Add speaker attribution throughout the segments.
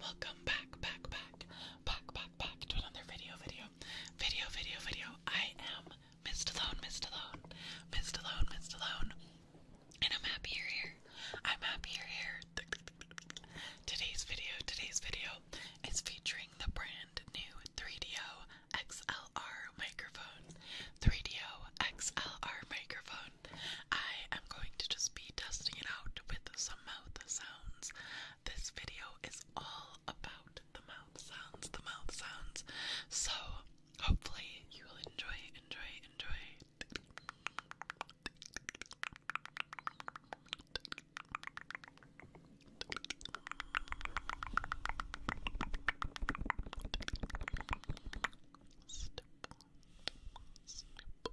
Speaker 1: Welcome back, back, back, back, back, back to another video, video, video, video, video. I am Miss Alone, Miss Alone, Miss Alone, Miss Alone, and I'm happy you're here. I'm happy you're here. Today's video, today's video is featuring the brand new 3DO XLR microphone. 3DO XLR microphone. I am going to just be testing it out with some mouth sounds. This video is all about the mouth sounds, the mouth sounds. So hopefully you will enjoy, enjoy, enjoy. Snip, snip,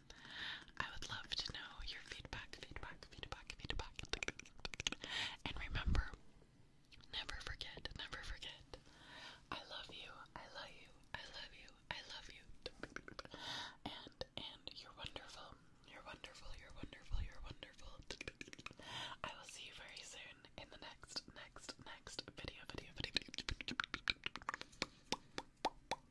Speaker 1: I would love to know your feedback, feedback, feedback, feedback. And remember, never forget, never forget. I love you, I love you, I love you, I love you. And, and you're wonderful, you're wonderful, you're wonderful, you're wonderful. I will see you very soon in the next, next, next video, video, video. video.